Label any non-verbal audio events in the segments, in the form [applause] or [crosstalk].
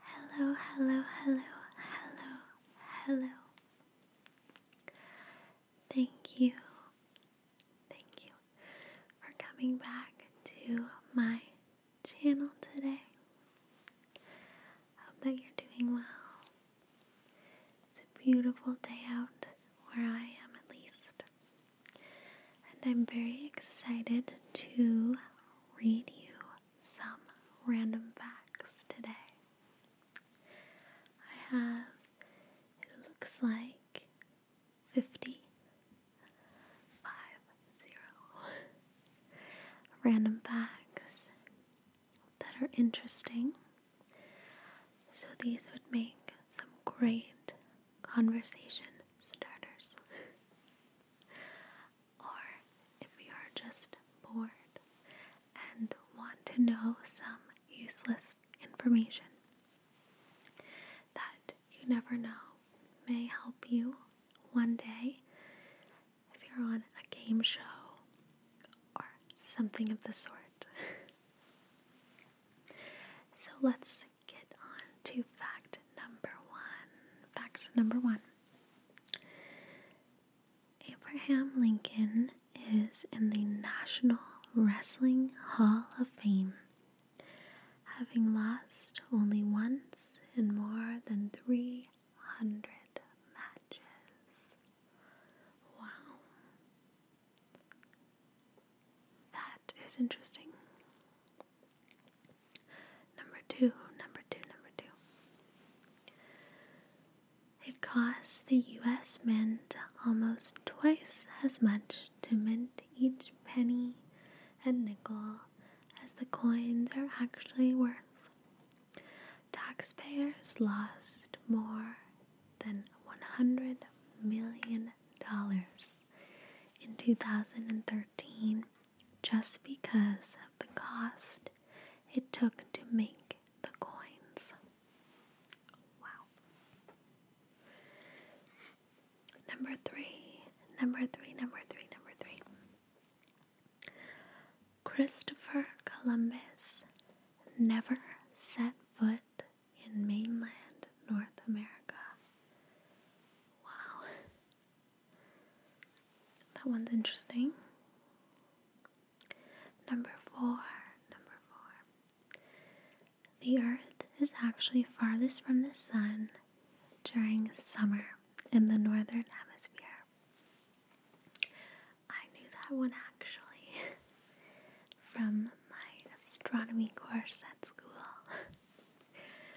Hello, hello, hello, hello, hello. Thank you, thank you for coming back to my channel today. Hope that you're doing well. It's a beautiful day out where I am, at least. And I'm very excited to read you some random facts today. I have, it looks like, 50, random facts that are interesting. So these would make some great conversation starters or if you are just bored and want to know some useless information that you never know may help you one day if you're on a game show or something of the sort. [laughs] so let's get on to fact fact number one. Fact number one Abraham Lincoln is in the National Wrestling Hall of Fame, having lost only once in more than 300 matches. Wow. That is interesting. Number two, number two, number two. It costs the US Mint almost twice as much to mint each penny and nickel as the coins are actually worth. Taxpayers lost more than $100 million in 2013 just because of the cost it took to make the coins. Wow. Number three, number three, number three, number three. Christopher Columbus never set foot in mainland North America. Wow. That one's interesting. Number four, number four. The Earth is actually farthest from the Sun during summer in the Northern Hemisphere. I knew that one actually [laughs] from my astronomy course at school. [laughs]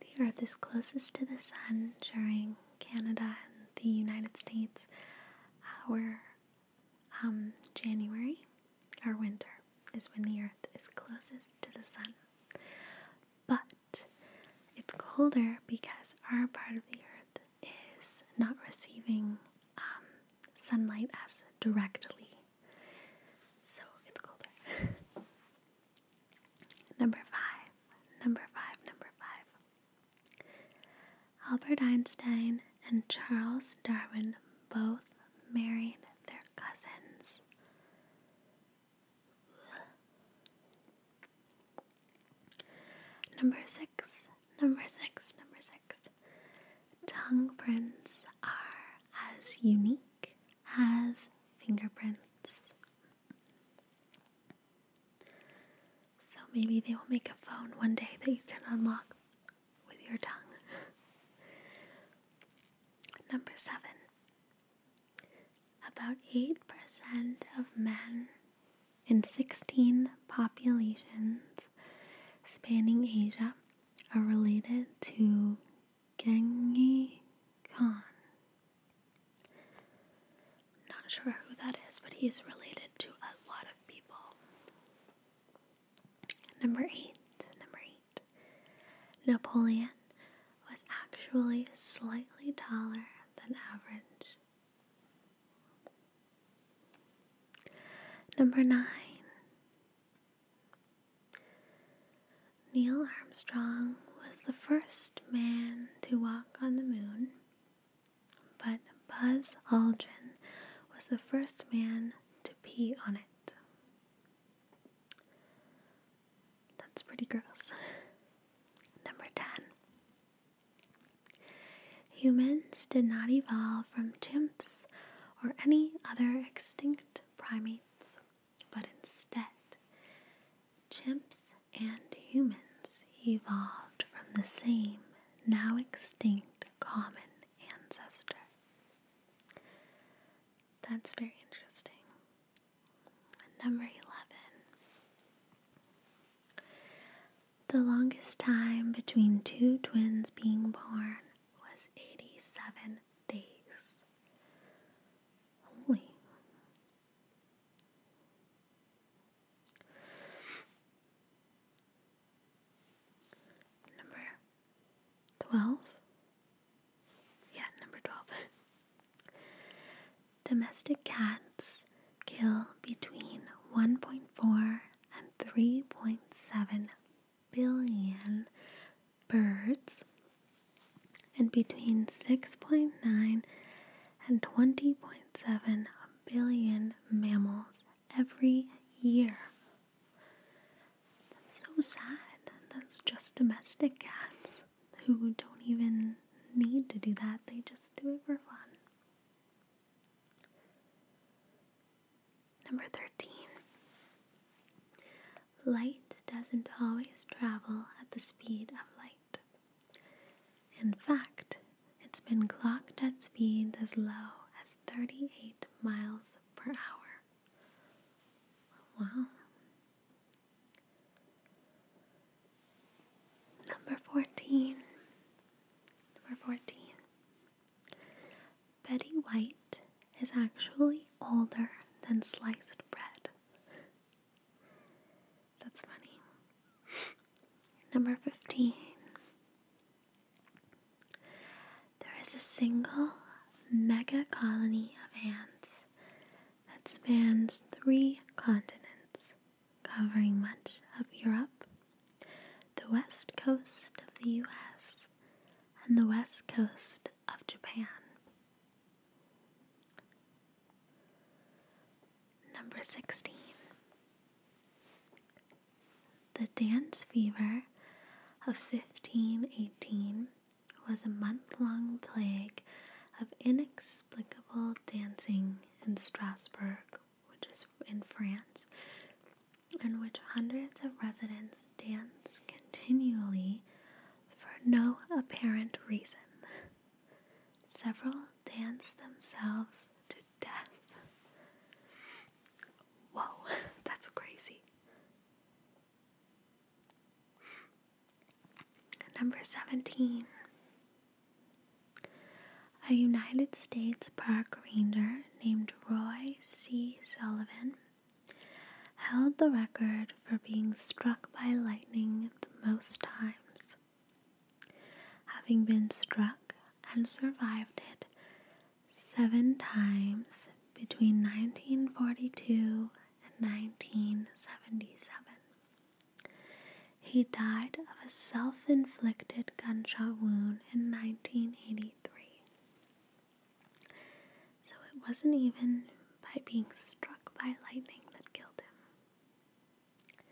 The Earth is closest to the Sun during Canada and the United States, our um, January, our winter, is when the Earth is closest to the Sun. But it's colder because our part of the Earth is not receiving um, sunlight as directly. So it's colder. [laughs] Number five, number five, number five. Albert Einstein and Charles Darwin both married their cousins. Number six, number six, number six. Tongue prints are as unique as fingerprints. So maybe they will make a phone one day that you can unlock with your tongue. [laughs] Number seven. About 8% of men in 16 populations spanning Asia are related to Genghis Khan. Not sure who that is, but he's related to a lot of people. Number eight. Number eight. Napoleon was actually slightly taller than average. Number nine. Neil Armstrong was the first man to walk on the moon, but Buzz Aldrin was the first man to pee on it. That's pretty gross. [laughs] Number 10. Humans did not evolve from chimps or any other extinct primates but instead, chimps and humans evolved from the same, now extinct, common ancestor. That's very interesting. Number 11. The longest time between two twins being born was 87 days holy. Number 12. Yeah, number 12. [laughs] Domestic cats kill between 1.4 and 3.7 billion birds and between 6.9 and 20.7 billion mammals every year. That's so sad. That's just domestic cats who don't even need to do that, they just do it for fun. Number 13. Light doesn't always travel at the speed of light. In fact, it's been clocked at speeds as low as 38 miles per hour. Wow. Number 14. Number 14. Betty White is actually older than sliced bread. That's funny. Number 15. There is a single mega colony of ants that spans three continents, covering much of Europe, the west coast of the US, and the west coast of Japan. Number 16. The dance fever of 1518 was a month long plague of inexplicable dancing in Strasbourg, which is in France, in which hundreds of residents dance continually for no apparent reason. Several danced themselves to death. Whoa, [laughs] that's crazy. Number 17. A United States park ranger named Roy C. Sullivan held the record for being struck by lightning the most times. Having been struck and survived it seven times between 1942 and 1977. He died of a self inflicted gunshot wound in 1983. So it wasn't even by being struck by lightning that killed him.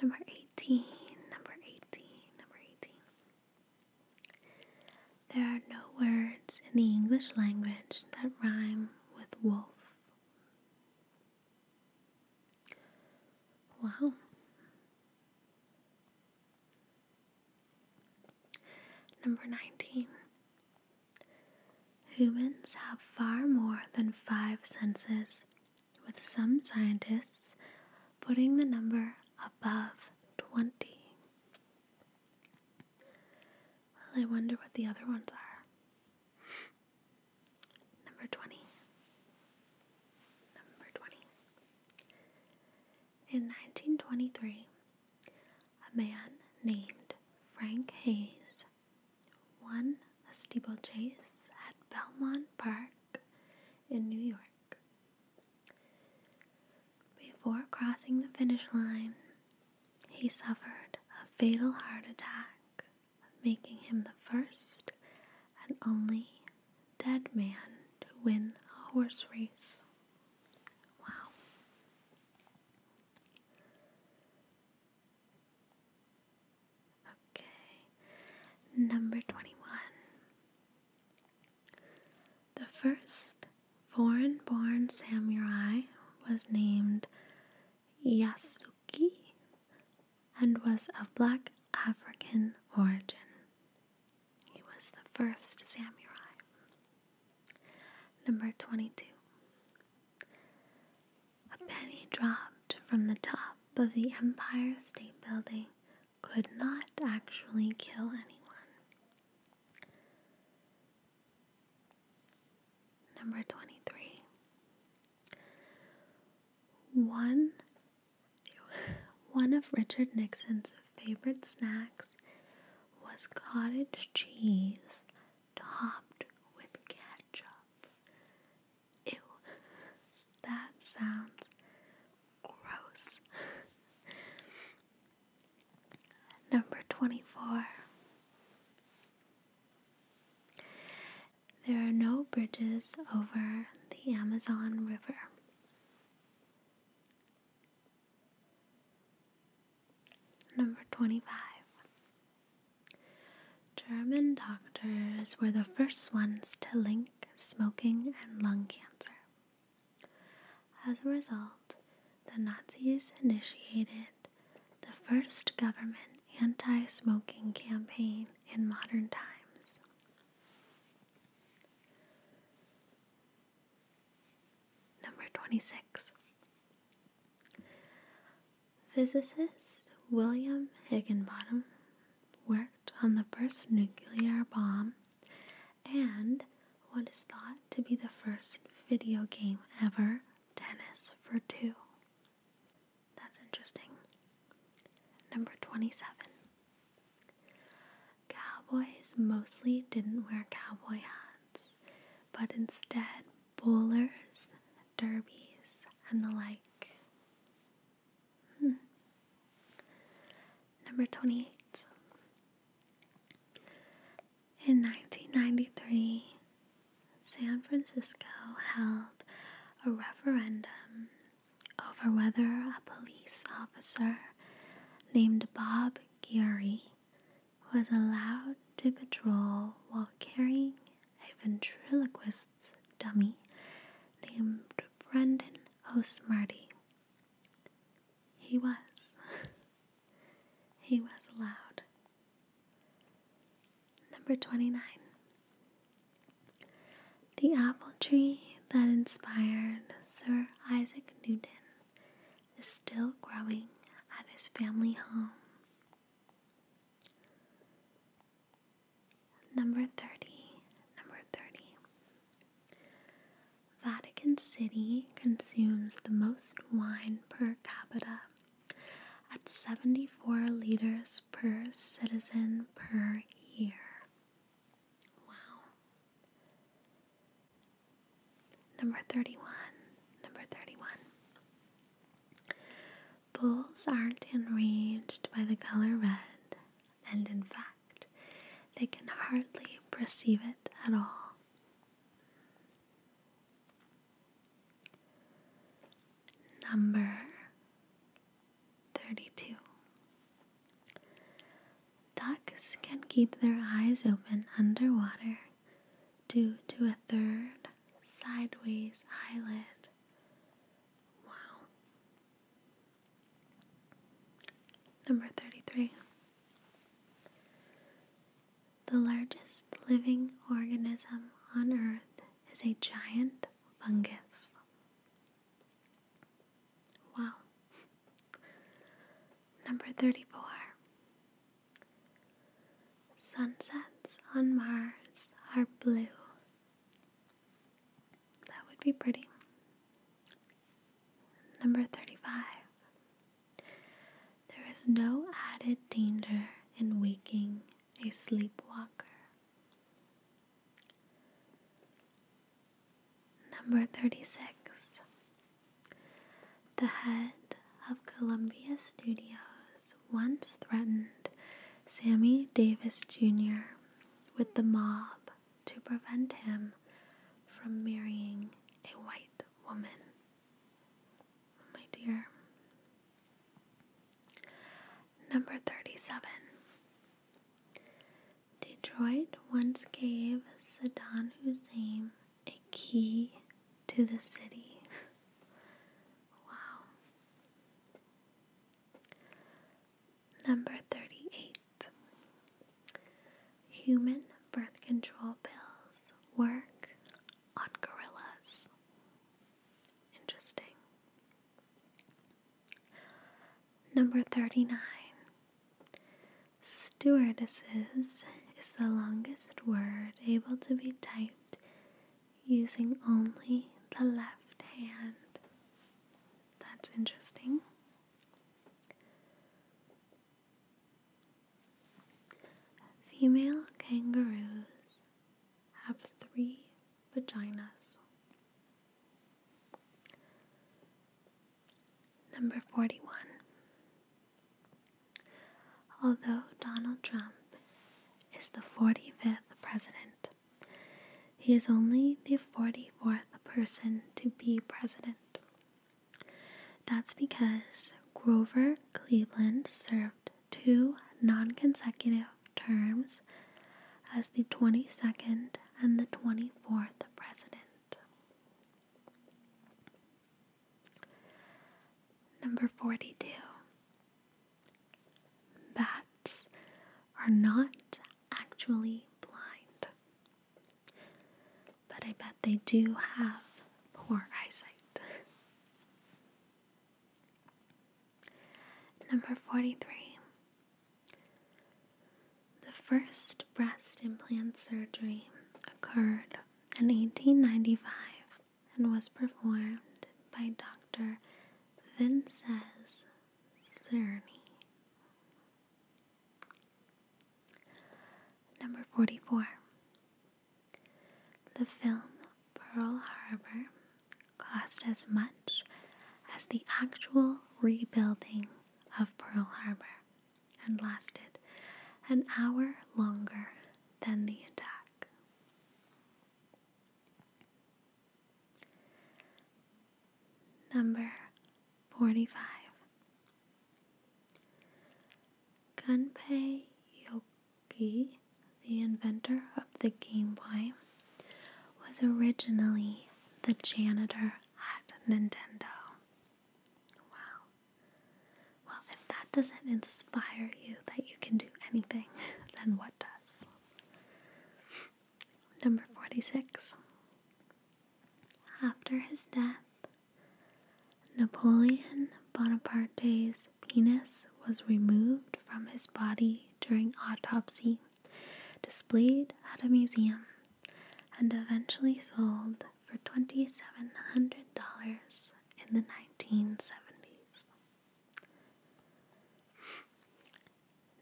Number 18, number 18, number 18. There are no words in the English language that rhyme with wolf. Wow. Number 19. Humans have far more than five senses, with some scientists putting the number above 20. Well, I wonder what the other ones are. number 20. Number 20. In 1923, a man named Frank Hayes won a steeplechase at Belmont Park in New York. Before crossing the finish line, he suffered a fatal heart attack, making him the first and only dead man to win a horse race. Wow. Okay, number 21. The first foreign born samurai was named Yasuki and was of black African origin. He was the first samurai. Number 22. A penny dropped from the top of the Empire State Building could not actually kill anyone. Number 23. One, [laughs] one of Richard Nixon's favorite snacks was cottage cheese topped with ketchup. Ew, that sounds gross. Number 24. There are no bridges over the Amazon River. Number 25. German doctors were the first ones to link smoking and lung cancer. As a result, the Nazis initiated the first government anti smoking campaign in modern times. Number 26. Physicist William Higginbottom worked on the first nuclear bomb and what is thought to be the first video game ever, Tennis for Two. That's interesting. Number 27. Cowboys mostly didn't wear cowboy hats, but instead bowlers, derbies, and the like. Hmm. Number 28. In 1993, San Francisco held a referendum over whether a police officer named Bob Geary was allowed to patrol while carrying a ventriloquist's dummy named Brendan O'Smarty. He was. [laughs] he was allowed. Number 29. The apple tree that inspired Sir Isaac Newton is still growing at his family home. Number 30. Number 30. Vatican City consumes the most wine per capita at 74 liters per citizen per year. Wow. Number 31. Number 31. Bulls aren't enraged by the color red, and in fact, they can hardly perceive it at all. Number 32. Ducks can keep their eyes open underwater due to a third sideways eyelid. Wow. Number 33. The largest living organism on Earth is a giant fungus. Wow. Number 34. Sunsets on Mars are blue. That would be pretty. Number 35. There is no added danger in waking a sleepwalker. Number 36. The head of Columbia Studios once threatened Sammy Davis Jr. with the mob to prevent him from marrying a white woman. Oh, my dear. Number 37. Detroit once gave Saddam Hussein a key to the city. [laughs] wow. Number 38 Human birth control pills work on gorillas. Interesting. Number 39 Stewardesses is the longest word able to be typed using only the left hand. That's interesting. Female kangaroos have three vaginas. Number 41. Although Donald Trump is the 45th president, he is only the 44th person to be president. That's because Grover Cleveland served two non consecutive terms as the 22nd and the 24th president. Number 42. Bats are not actually blind, but I bet they do have poor eyesight. Number 43. The first breast implant surgery occurred in 1895 and was performed by Dr. Vinces Cerny. Number 44. The film Pearl Harbor cost as much as the actual rebuilding of Pearl Harbor and lasted an hour longer than the attack. Number 45 Gunpei Yoki, the inventor of the Game Boy, was originally the janitor at Nintendo. Wow. Well, if that doesn't inspire you that you can do anything, [laughs] then what does? Number 46. After his death, Napoleon Bonaparte's penis was removed from his body during autopsy, displayed at a museum, and eventually sold for $2,700 in the 1970s.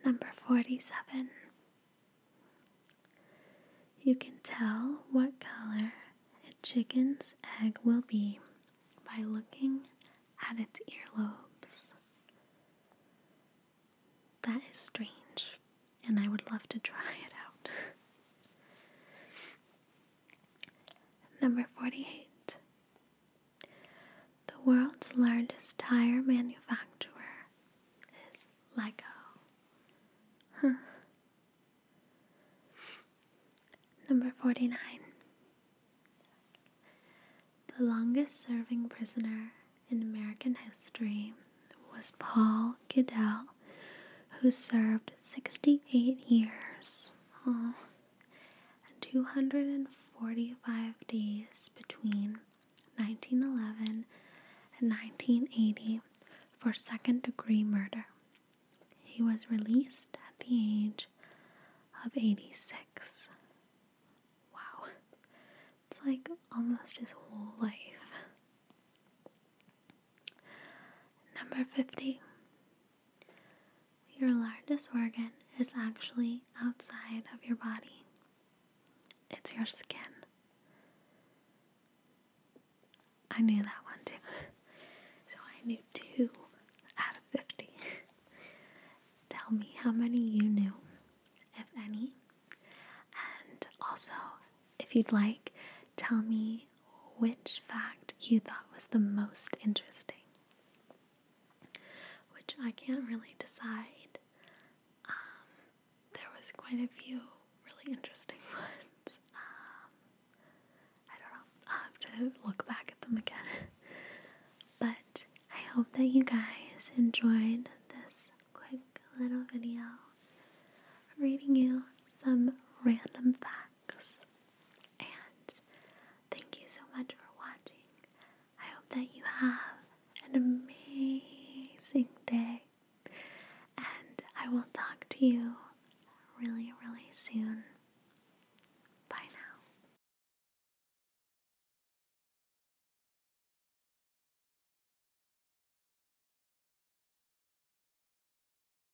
Number 47. You can tell what color a chicken's egg will be by looking at its earlobes. That is strange, and I would love to [laughs] try it out. Number 48. The world's largest tire manufacturer is Lego. Huh. Number 49. The longest serving prisoner in American history was Paul Goodell, who served 68 years. 245 days between 1911 and 1980 for second degree murder. He was released at the age of 86. Wow. It's like almost his whole life. Number 50. Your largest organ is actually outside of your body, it's your skin. I knew that one too. so I knew two out of 50. Tell me how many you knew, if any. And also, if you'd like, tell me which fact you thought was the most interesting. Which I can't really decide. Um, there was quite a few really interesting [laughs] ones. Um, I don't know. i have to look back at them again. [laughs] but I hope that you guys enjoyed this quick little video reading you some random facts and thank you so much for watching. I hope that you have an amazing day. And I will talk to you really, really soon. Bye now.